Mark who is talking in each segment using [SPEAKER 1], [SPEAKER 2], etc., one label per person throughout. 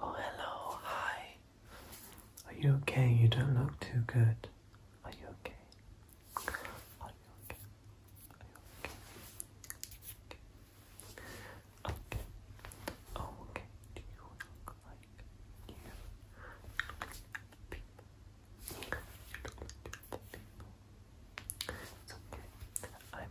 [SPEAKER 1] Oh, hello, hi. Are you okay? You don't look too good. Are you okay? Are you okay? Are you okay? Okay. Oh, okay. Do you look like you? People. You look like people. It's okay. I'm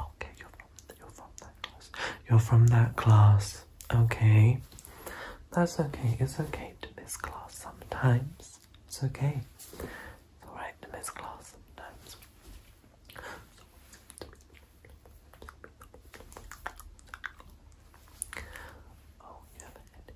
[SPEAKER 1] Okay, you're from, that class. You're from that class. Okay. That's okay. It's okay to miss class sometimes. It's okay. It's alright to miss class sometimes. Oh,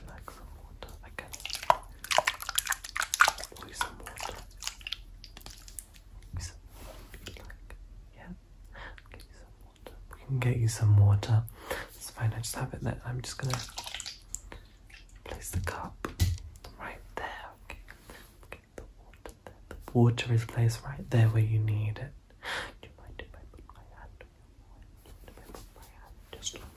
[SPEAKER 1] Relax some water. I can pour some water. Some, like, yeah. Get you some water. We can get you some water. It's fine. I just have it there. I'm just gonna place the cup right there. Okay. Get the water there. The water is placed right there where you need it. Do you mind if I put my hand on your forehead? Do I put my hand just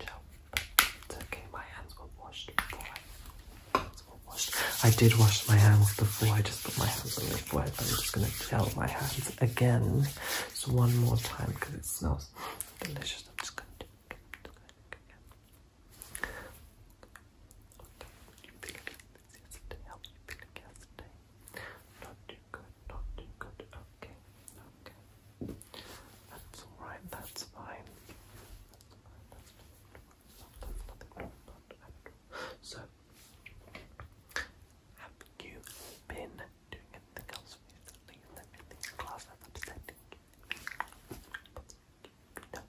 [SPEAKER 1] It's okay, my hands were washed before I did wash my hands before, I just put my hands on my forehead. I'm just gonna gel my hands again. So one more time because it smells delicious. I'm just gonna do it again good, not too good. Okay, okay. That's alright, that's fine. So, have you been doing anything else recently? Anything class that's no.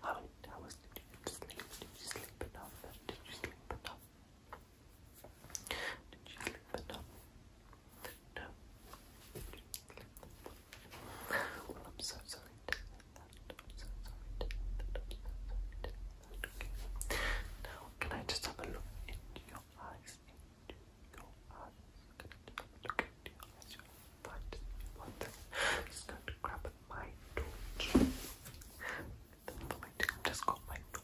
[SPEAKER 1] How many hours did you Did you sleep enough? Did you sleep enough? Did No. Well, I'm so sorry so sorry so sorry Okay. Now, can I just have a look into your eyes? Into your eyes. Can I your eyes? You're fine. One thing. i just going to grab my torch. The light. just got my torch.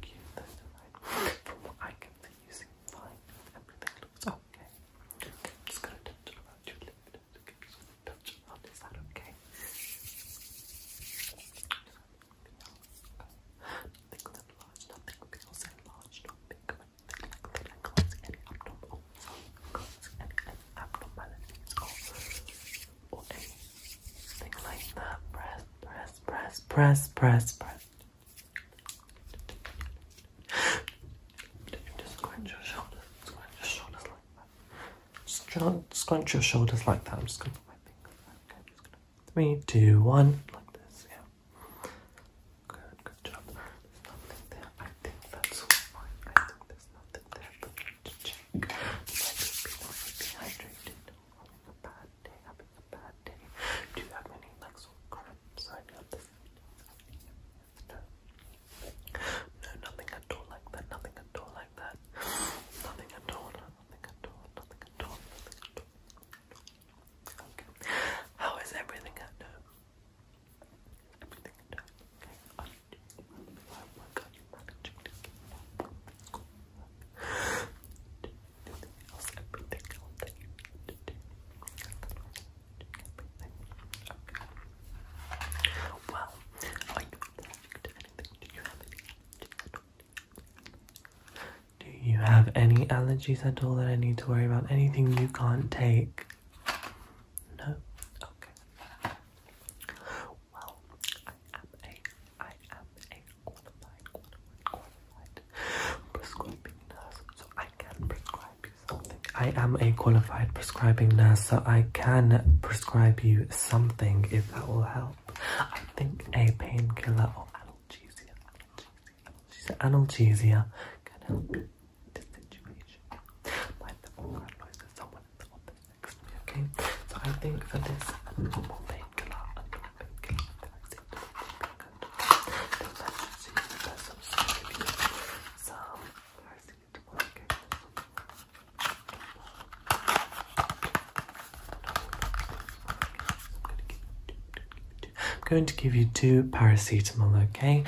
[SPEAKER 1] keep that in mind. From what I can see, you seem fine. Everything looks okay. just gonna touch around your lip. Okay, just gonna that okay? Nothing enlarged, nothing feels enlarged, not big or like that. I can't see any like that. Press, press, press, press, press, press. Just squinch your shoulders, squinch your shoulders like that. Just do squinch your shoulders like that. I'm just gonna put my finger there. Okay, i just gonna three, two, one, like this, yeah. Good, good job. I think that's fine. I think there's nothing there, but to check. Might be people dehydrated day, do you have any Lexel cards? I got this. No. nothing at all like that. Nothing at all like that. Nothing at all. Nothing at all. Nothing at all. Nothing at all. How is everything at home? Everything at home do everything else, everything else that you need do. anything? Do you have any allergies at all? Do you have any allergies at all that I need to worry about? Anything you can't take? No? Okay. Well, I am a I am a qualified, qualified, qualified prescribing nurse, so I can prescribe you something. I am a qualified prescribing nurse, so I can prescribe you something if that will help. I think a painkiller or analgesia, analgesia, can help I'm going to give you two paracetamol, okay?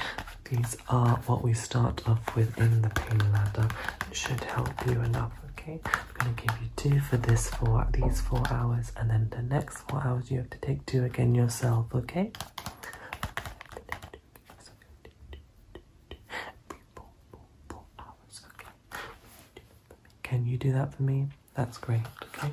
[SPEAKER 1] These are what we start off with in the pain ladder. It should help you enough, okay? I'm gonna give you two for this for these four hours, and then the next four hours you have to take two again yourself, okay? Can you do that for me? That's great, okay?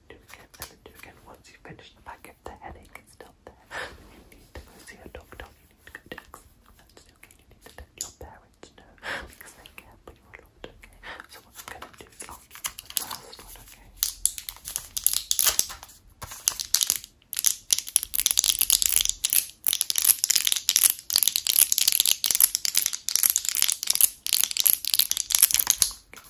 [SPEAKER 1] do again and then do again. Once you finish the pack, if the headache is still there, then you need to go see a doctor. You need to go to That's okay. You need to let your parents know because they care for you a lot, okay? So what I'm gonna do is the last one, okay?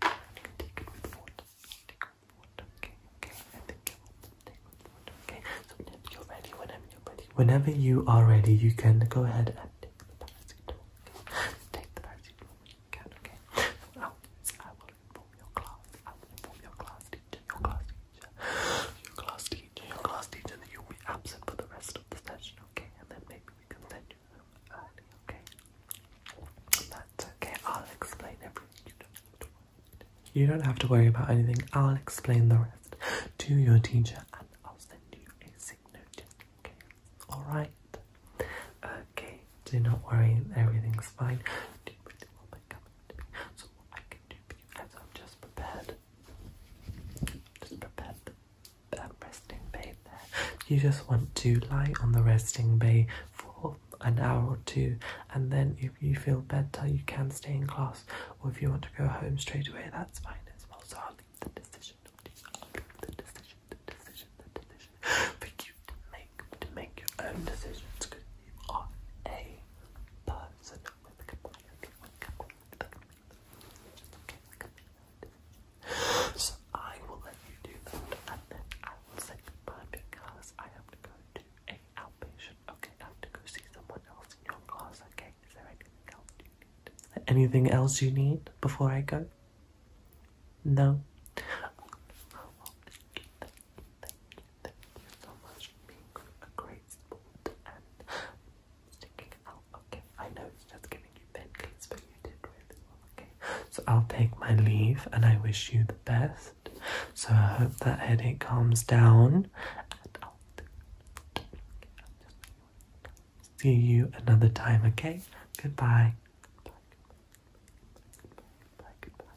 [SPEAKER 1] Take it with water. Take it with water. Okay, okay. I think I will take it with water. Okay. So whenever you're ready, whenever you're ready, whenever you are ready, you can go ahead and take the paracetamol. Okay? Take the paracetamol when you can. Okay. So what I'll do is I will inform your class. I will inform your class teacher. Your class teacher. Your class teacher. Your class teacher that you'll be absent for the rest of the session. Okay. And then maybe we can send okay? That's okay, I'll explain everything. You don't have to worry. about anything. I'll explain the rest to your teacher and I'll send you a sick notice, okay? Alright? Okay, do not worry, everything's fine. So I can do I've just prepared. Just prepared um, resting bay there. You just want to lie on the resting bay for an hour or two, and then if you feel better, you can stay in class, or if you want to go home straight away, that's fine as well. So I'll leave the decision you. i the decision, the decision, the decision for you to make to make your own decisions because you are a person with a commitment. So I will let you do that and then I will say goodbye because I have to go to a outpatient. Okay, I have to go see someone else in your class, okay? Is there anything else you need? anything else you need before I go? No? Okay, I know it's just giving you pancakes, but you did really well. Okay, so I'll take my leave and I wish you the best. So I hope that headache calms down. And I'll see you another time, okay? Goodbye. Goodbye, goodbye, goodbye, goodbye.